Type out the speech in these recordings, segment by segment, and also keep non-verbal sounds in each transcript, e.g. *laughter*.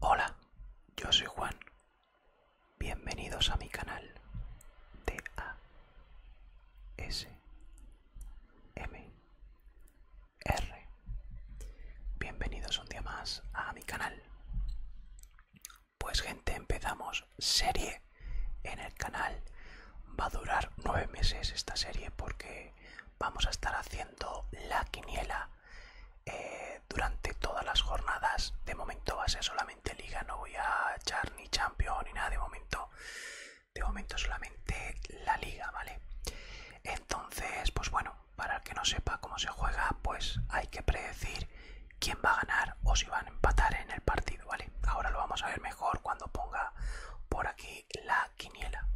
Hola, yo soy Juan. Bienvenidos a mi canal de A S M R. Bienvenidos un día más a mi canal. Pues gente, empezamos serie en el canal. Va a durar nueve meses esta serie porque vamos a estar haciendo la quiniela eh, durante todas las jornadas. De momento va a ser solamente liga, no voy a echar ni champion ni nada de momento. De momento solamente la liga, ¿vale? Entonces, pues bueno, para el que no sepa cómo se juega, pues hay que predecir quién va a ganar o si van a empatar en el partido, ¿vale? Ahora lo vamos a ver mejor cuando ponga por aquí la quiniela.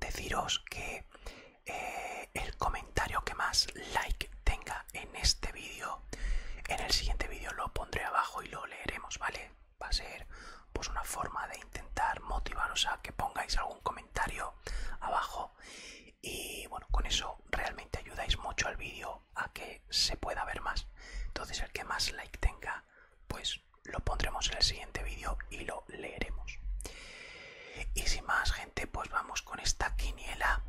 Deciros que eh, el comentario que más like tenga en este vídeo, en el siguiente vídeo lo pondré abajo y lo leeremos, ¿vale? Va a ser pues una forma de intentar motivaros a que pongáis algún comentario abajo y bueno con eso realmente ayudáis mucho al vídeo a que se pueda ver más entonces el que más like tenga pues lo pondremos en el siguiente vídeo y lo leeremos y sin más gente pues vamos con esta quiniela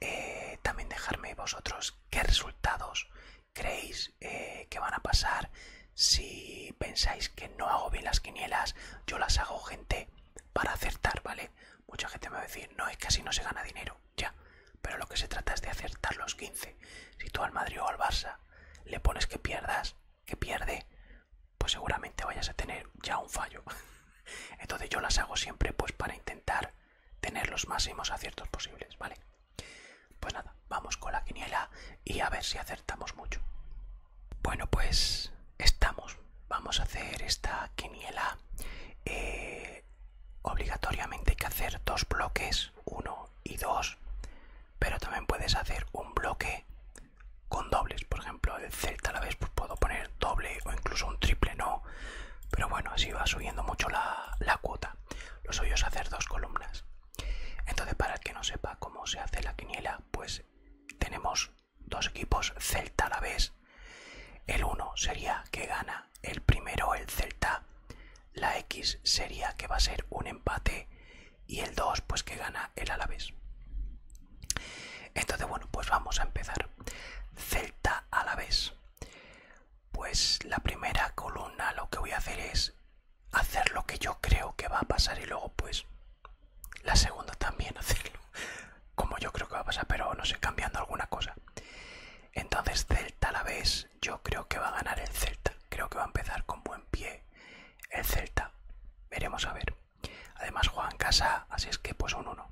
eh, también dejarme vosotros qué resultados creéis eh, que van a pasar si pensáis que no hago bien las quinielas yo las hago gente para acertar vale Mucha gente me va a decir, no, es que así no se gana dinero, ya. Pero lo que se trata es de acertar los 15. Si tú al Madrid o al Barça le pones que pierdas, que pierde, pues seguramente vayas a tener ya un fallo. *laughs* Entonces yo las hago siempre pues para intentar tener los máximos aciertos posibles, ¿vale? Pues nada, vamos con la quiniela y a ver si acertamos mucho. Bueno, pues estamos vamos a hacer esta quiniela. Eh, obligatoriamente hay que hacer dos bloques, uno y dos, pero también puedes hacer un bloque con dobles. Por ejemplo, el Celta a la vez pues puedo poner doble o incluso un triple, no. Pero bueno, así va subiendo mucho la, la cuota. Lo suyo es hacer dos columnas. Entonces, para el que no sepa cómo se hace la quiniela, pues tenemos dos equipos Celta a la vez. El 1 sería que gana el primero el Celta. La X sería que va a ser un empate y el 2 pues que gana el Alavés. Entonces bueno, pues vamos a empezar. Celta a la vez. Pues la primera columna lo que voy a hacer es hacer lo que yo creo que va a pasar y luego pues la segunda también *laughs* hacerlo como yo creo que va a pasar, pero no sé, cambiando alguna cosa. Entonces Celta a la vez, yo creo que va a ganar el Celta. Creo que va a empezar con buen pie el Celta. Veremos a ver. Además juega en casa, así es que pues un 1.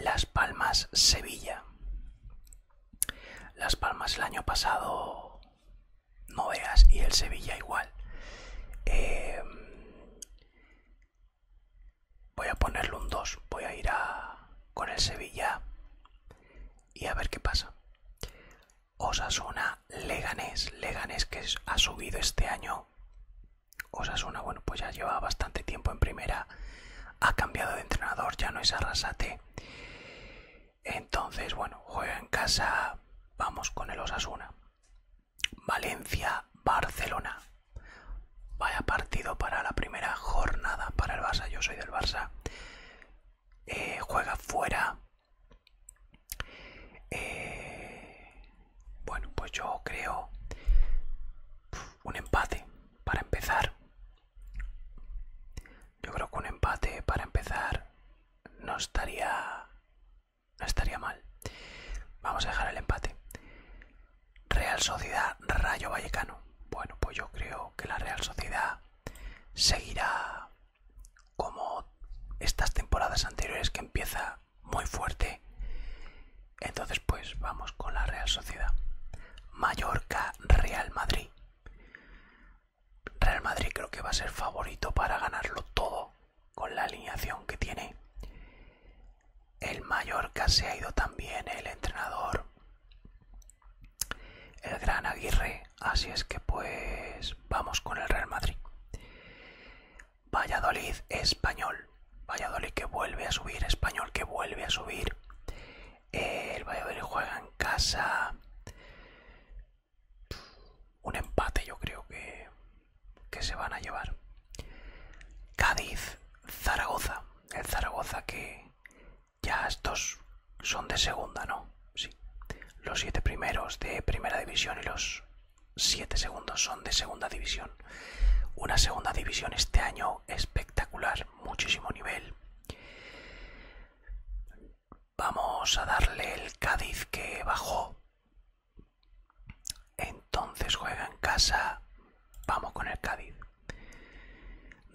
Las Palmas Sevilla. Las Palmas el año pasado no veas y el Sevilla igual. Eh, Voy a ponerle un 2. Voy a ir a, con el Sevilla y a ver qué pasa. Osasuna Leganés. Leganés que ha subido este año. Osasuna, bueno, pues ya lleva bastante tiempo en primera. Ha cambiado de entrenador, ya no es Arrasate. Entonces, bueno, juega en casa. Vamos con el Osasuna. Valencia-Barcelona. Vaya partido para la primera jornada para el Barça. Yo soy del Barça. Eh, juega fuera. Eh, bueno, pues yo creo un empate para empezar. Yo creo que un empate para empezar no estaría no estaría mal. Vamos a dejar el empate. Real Sociedad Rayo Vallecano. Bueno, pues yo creo que la Real Sociedad seguirá como estas temporadas anteriores que empieza muy fuerte. Entonces pues vamos con la Real Sociedad. Mallorca Real Madrid. Real Madrid creo que va a ser favorito para ganarlo todo con la alineación que tiene. El Mallorca se ha ido también el entrenador, el gran Aguirre, así es que pues vamos con el Real Madrid. Valladolid español, Valladolid que vuelve a subir, español que vuelve a subir. El Valladolid juega en casa. Un empate yo creo que que se van a llevar. Cádiz, Zaragoza. El Zaragoza que ya estos son de segunda, ¿no? Sí. Los siete primeros de primera división y los siete segundos son de segunda división. Una segunda división este año espectacular, muchísimo nivel. Vamos a darle el Cádiz que bajó entonces juega en casa. Vamos con el Cádiz.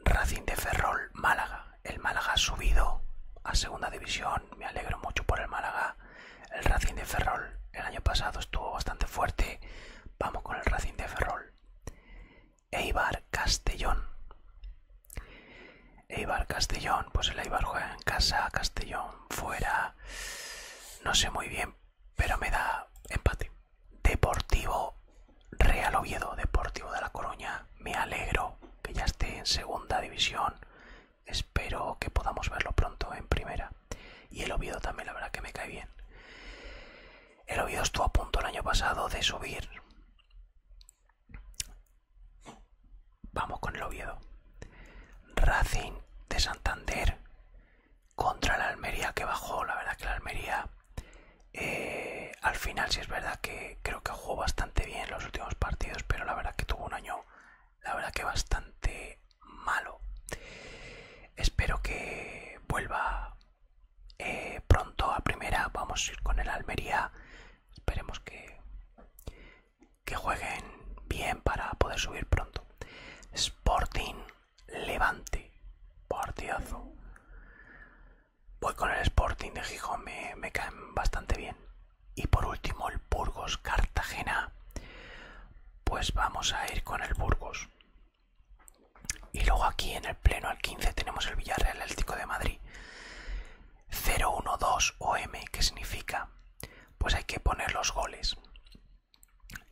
Racing de Ferrol, Málaga. El Málaga ha subido a segunda división. Me alegro mucho por el Málaga. El Racing de Ferrol el año pasado estuvo bastante fuerte. Vamos con el Racing de Ferrol. Eibar Castellón. Eibar Castellón, pues el Eibar juega en casa, Castellón fuera. No sé muy bien, pero me da empate. Deportivo Real Oviedo, Deportivo de La Coruña. Me alegro que ya esté en segunda división. Espero que podamos verlo pronto en primera. Y el Oviedo también, la verdad que me cae bien. El Oviedo estuvo a punto el año pasado de subir. Vamos con el Oviedo. Racing de Santander contra la Almería que bajó. La verdad que la Almería eh, al final sí es verdad que creo que jugó bastante bien los últimos partidos, pero la verdad que tuvo un año, la verdad que bastante malo. Espero que vuelva eh, pronto a primera. Vamos a ir con el Almería. Esperemos que que jueguen bien para poder subir pronto. Sporting Levante. Partidazo. Voy con el Sporting de Gijón, me, caen bastante bien. Y por último el Burgos Cartagena. Pues vamos a ir con el Burgos. Y luego aquí en el pleno al 15 tenemos el Villarreal Eléctrico de Madrid. 012 OM, que significa pues hay que poner los goles.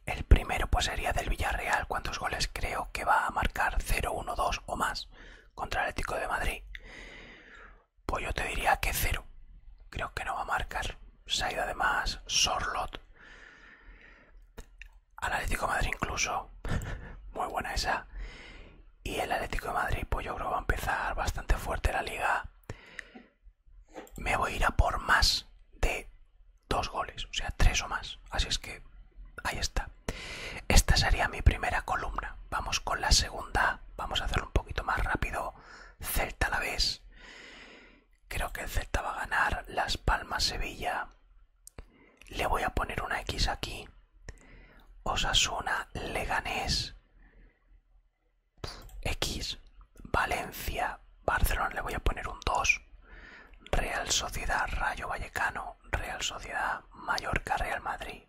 El primero pues sería del Villarreal, cuántos goles creo que va a marcar 0, 1, 2 o más contra el Atlético de Madrid. Pues yo te diría que 0. Creo que no va a marcar. Se ha ido además Sorlot. Al Atlético de Madrid incluso. *laughs* Muy buena esa. Y el Atlético de Madrid pues yo creo que va a empezar bastante fuerte la liga me voy a ir a por más de dos goles, o sea, tres o más. Así es que ahí está. Esta sería mi primera columna. Vamos con la segunda. Vamos a hacerlo un poquito más rápido. Celta a la vez. Creo que el Celta va a ganar. Las Palmas Sevilla. Le voy a poner una X aquí. Osasuna Leganés. X, Valencia, Barcelona le voy a poner un 2. Real Sociedad, Rayo Vallecano, Real Sociedad, Mallorca, Real Madrid,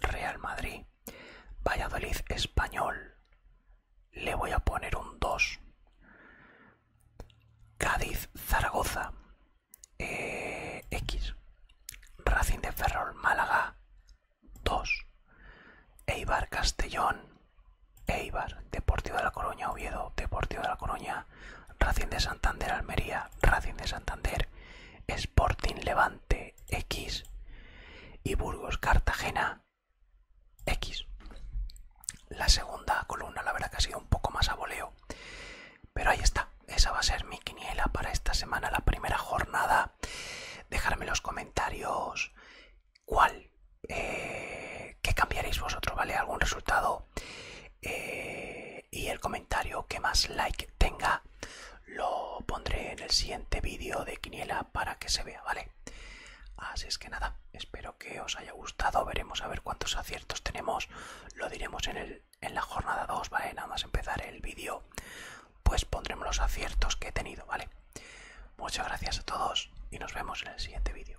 Real Madrid, Valladolid, Español, le voy a poner un 2. Cádiz, Zaragoza, eh, X, Racing de Ferrol, Málaga, 2. Eibar Castellón, Eibar, Deportivo de la Coruña Oviedo, Deportivo de la Coruña, Racing de Santander Almería, Racing de Santander, Sporting Levante X y Burgos Cartagena X. La segunda columna la verdad que ha sido un poco más a voleo, pero ahí está, esa va a ser mi quiniela para esta semana, la primera jornada Dejarme en los comentarios cuál, que eh, qué cambiaréis vosotros, ¿vale? Algún resultado. Eh, y el comentario que más like tenga lo pondré en el siguiente vídeo de Quiniela para que se vea, ¿vale? Así es que nada, espero que os haya gustado. Veremos a ver cuántos aciertos tenemos. Lo diremos en, en la jornada 2, ¿vale? Nada más empezar el vídeo pues pondremos los aciertos que he tenido, ¿vale? Muchas gracias a todos y nos vemos en el siguiente vídeo.